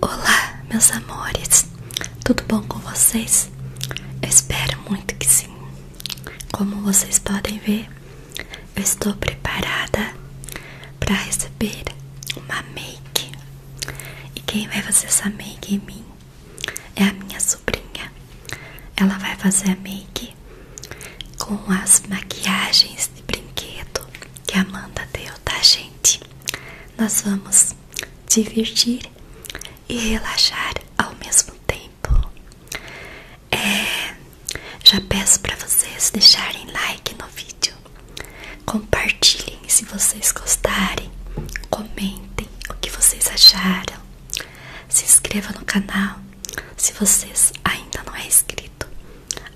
Olá, meus amores, tudo bom com vocês? espero muito que sim. Como vocês podem ver, eu estou preparada para receber uma make. E quem vai fazer essa make em mim é a minha sobrinha. Ela vai fazer a make com as maquiagens de brinquedo que a Amanda deu, tá, gente? gente, nós vamos divertir e relaxar ao mesmo tempo. É, já peço para vocês deixarem like no vídeo, compartilhem se vocês gostarem, comentem o que vocês acharam, se inscreva no canal se vocês ainda não é inscrito.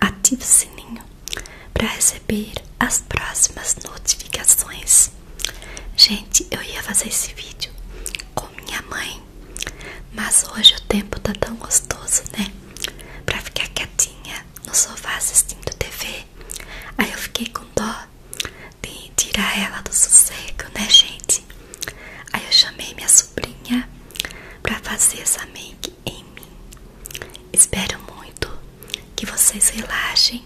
Ative o sininho para receber as próximas notificações. Gente, eu ia fazer esse vídeo com minha mãe, mas hoje o tempo tá tão gostoso, né? Para ficar quietinha no sofá assistindo TV. Aí eu fiquei com dó de tirar ela do sossego, né, gente? Aí eu chamei minha sobrinha para fazer essa minha em mim. Espero muito que vocês relaxem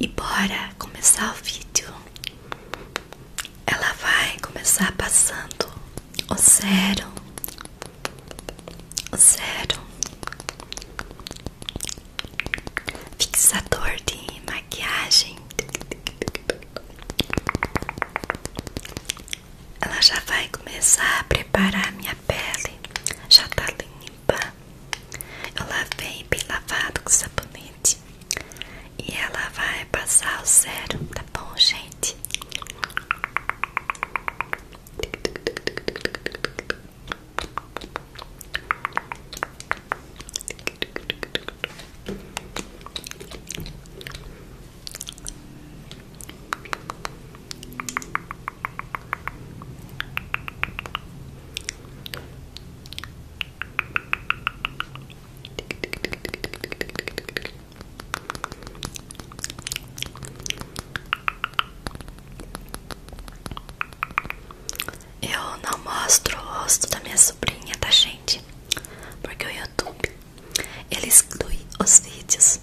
e bora começar o vídeo. Ela vai começar passando o zero, o zero, fixador de maquiagem ela já vai começar a preparar minha pele. Já tá limpa. Eu lavei bem lavado com sabonete. E ela vai passar o zero, tá bom, gente? Eu não mostro o rosto da minha sobrinha, tá, gente? Porque o YouTube ele exclui os vídeos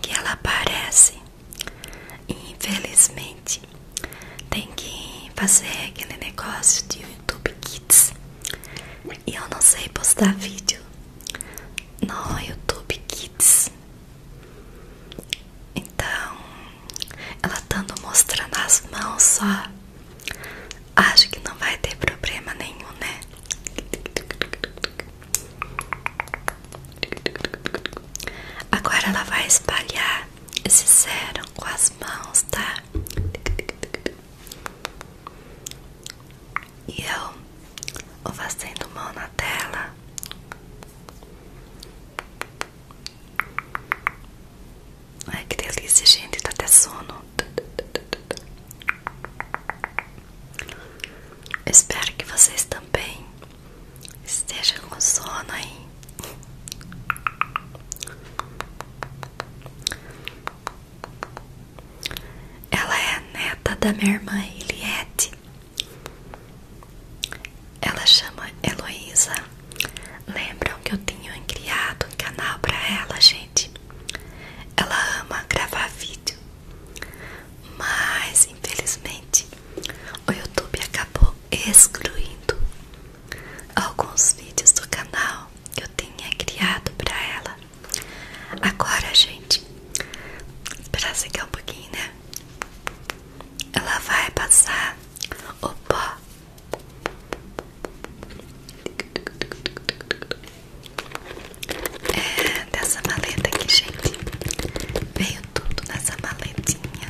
que ela aparece infelizmente tem que fazer aquele negócio de YouTube Kids e eu não sei postar vídeo no YouTube Kids então ela estando mostrando as mãos só Acho que não vai ter problema nenhum, né? Agora ela vai espalhar esse sérum com as mãos, tá? E eu vou fazendo mão na tela. Ai que delícia, gente, tá até sono. Espero que vocês também estejam com sono aí. Ela é a neta da minha irmã Eliette. Ela chama Heloísa. Lembram que eu tinha criado um canal pra ela, gente? Ela ama gravar vídeo, mas infelizmente o YouTube acabou excluindo alguns vídeos do canal que eu tinha criado para ela. Agora, gente, para secar um pouquinho, né? Ela vai passar o pó é, dessa maleta aqui, gente. Veio tudo nessa maletinha.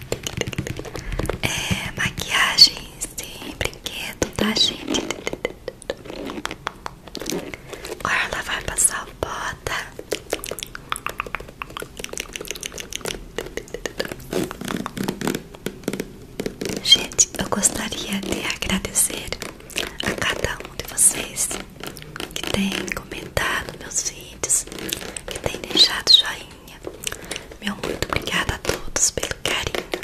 É, maquiagens de brinquedo, tá, gente? olha ela vai passar o bota. Gente, eu gostaria de agradecer a cada um de vocês que tem comentado meus vídeos, que tem deixado joinha. Meu muito obrigada a todos pelo carinho.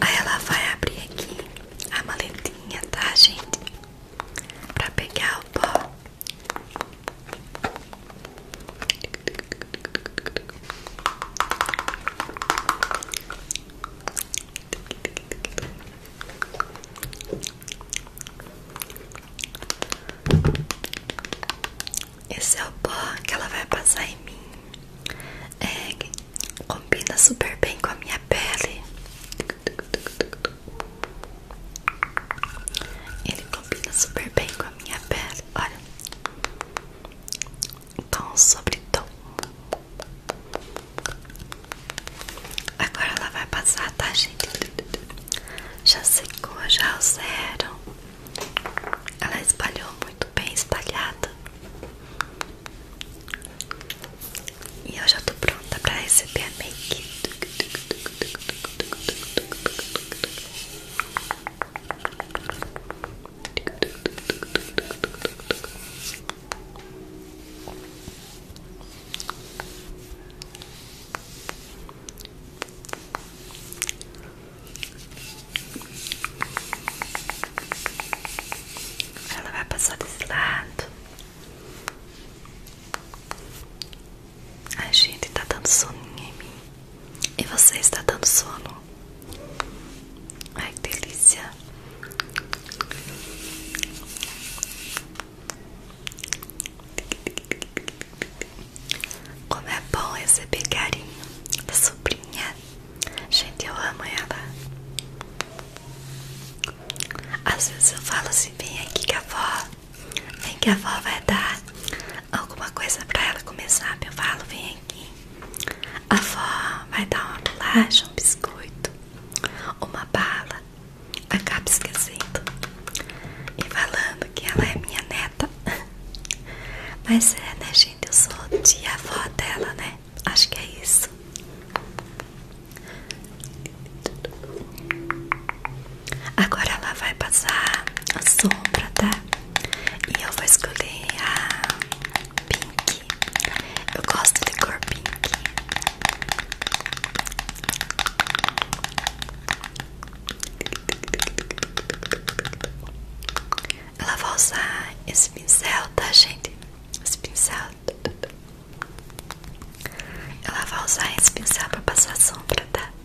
Aí ela vai abrir aqui a maletinha, tá, gente? Pra pegar o pó. Esse é o pó que ela vai passar em mim. É, combina super bem com a minha pele. Ele combina super bem com a minha pele. Olha, tom sobre tom. Agora ela vai passar, tá, gente? Já secou, já zero. Ela espalhou muito bem espalhada. E eu já tô pronta pra receber a make. Ela vai passar desse lado. A gente está dando soninho em mim. E você está dando sono? Ai que delícia! Como é bom receber carinho da sobrinha. Gente, eu amo ela. Às vezes eu falo assim: vem aqui que a avó, vem que a avó vai dar alguma coisa pra ela começar, eu falo, vem aqui. A avó vai dar uma bolacha, um biscoito, uma bala, acaba esquecendo. E falando que ela é minha neta. Mas é, né, gente? Eu sou tia-avó dela, né? Acho que é isso. Agora ela vai passar a sombra, tá? E eu vou escolher a pink. Eu gosto de cor pink. Ela vai usar esse pincel, tá, gente? Esse pincel. Ela vai usar esse pincel pra passar a sombra, tá?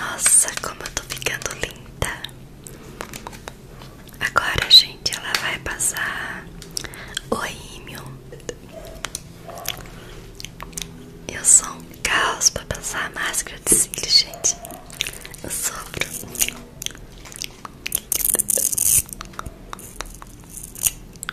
Nossa, como eu tô ficando linda. Agora, gente, ela vai passar o rímel. Eu sou um caos pra passar a máscara de cílios, gente. Eu sofro.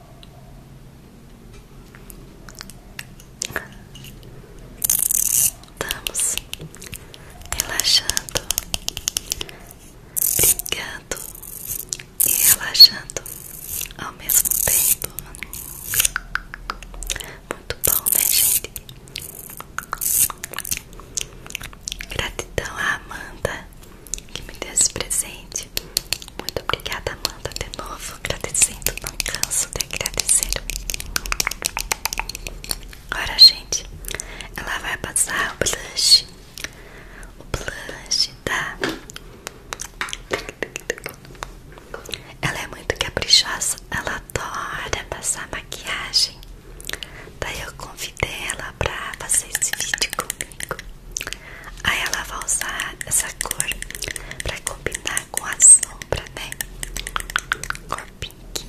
Estamos relaxando, brincando e relaxando ao mesmo tempo. Muito bom, né, gente? Gratidão a Amanda que me deu esse presente. Muito obrigada, Amanda, de novo. Agradecendo, não canso de agradecer. Agora, gente, ela vai passar o blush. O blush tá? Ela é muito caprichosa, ela adora passar maquiagem. Daí eu convidei ela pra fazer esse vídeo comigo. Aí ela vai usar essa cor pra combinar com a sombra, né? Cor pink,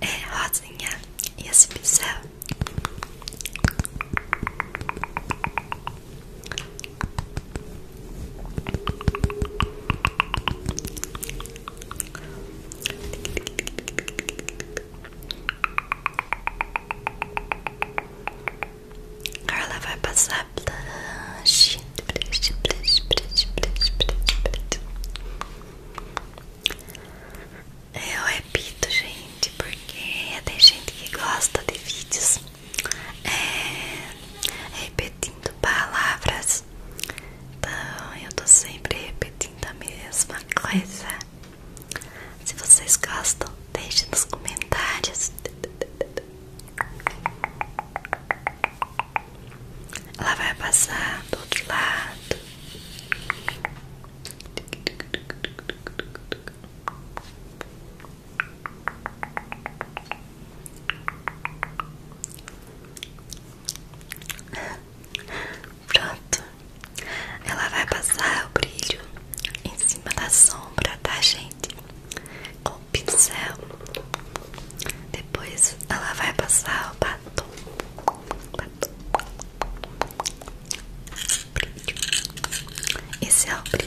é rosinha e esse pincel. Carla vai passar blush, blush, blush, blush, blush, blush, blush. Eu repito, gente, porque tem gente que gosta de vídeos é, repetindo palavras. Então eu tô sempre repetindo a mesma coisa. Se vocês gostam, deixem nos comentários. Ela vai passar do outro lado. Pronto. Ela vai passar o brilho em cima da sombra, tá, gente? Com pincel. Depois ela vai passar o batom. batom. Brilho. Esse é o brilho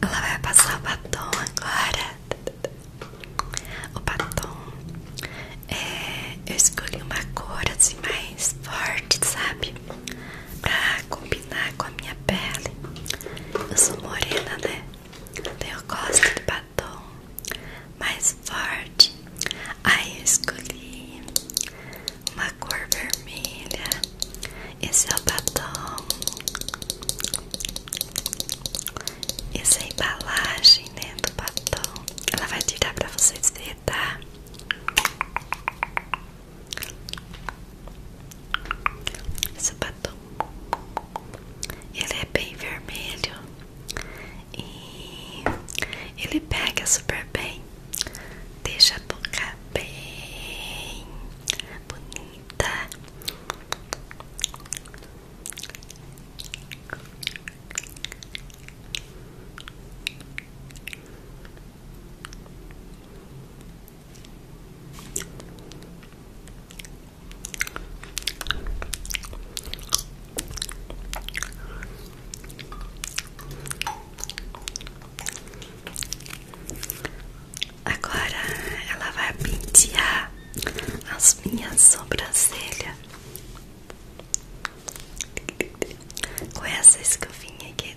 Ela vai passar o batom agora. O batom é, eu escolhi uma cor assim mais forte, sabe? Pra combinar com a minha pele. Eu sou morena, né? Então eu gosto de batom mais forte. Aí eu escolhi uma cor vermelha. Esse é o batom. Essa é a embalagem né, do batom. Ela vai tirar para vocês verem, tá? esse batom. Ele é bem vermelho e ele pega super bem, deixa a boca bem bonita. Agora ela vai pentear as minhas sobrancelhas com essa escovinha aqui.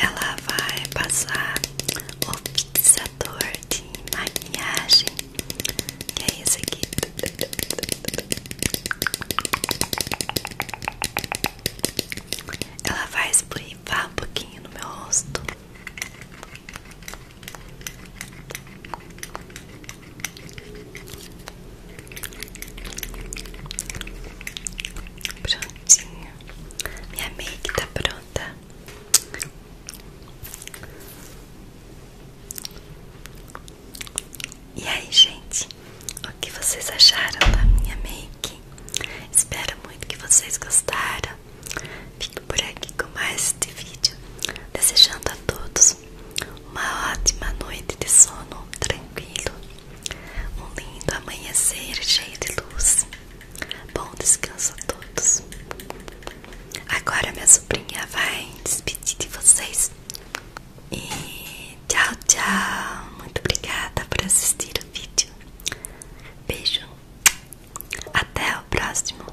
Ela vai passar o fixador de maquiagem, que é esse aqui. Ela vai esburivar um pouquinho no meu rosto. Prontinho. Minha make tá pronta. E aí, gente? O que vocês acharam da minha make? Espero muito que vocês gostaram. Fico por aqui com mais este vídeo. Desejando a todos uma ótima noite de sono tranquilo um lindo amanhecer cheio de luz. Bom descanso a todos. Agora minha sobrinha vai despedir de vocês. E tchau, tchau. Muito obrigada por assistir o vídeo. Beijo. Até o próximo.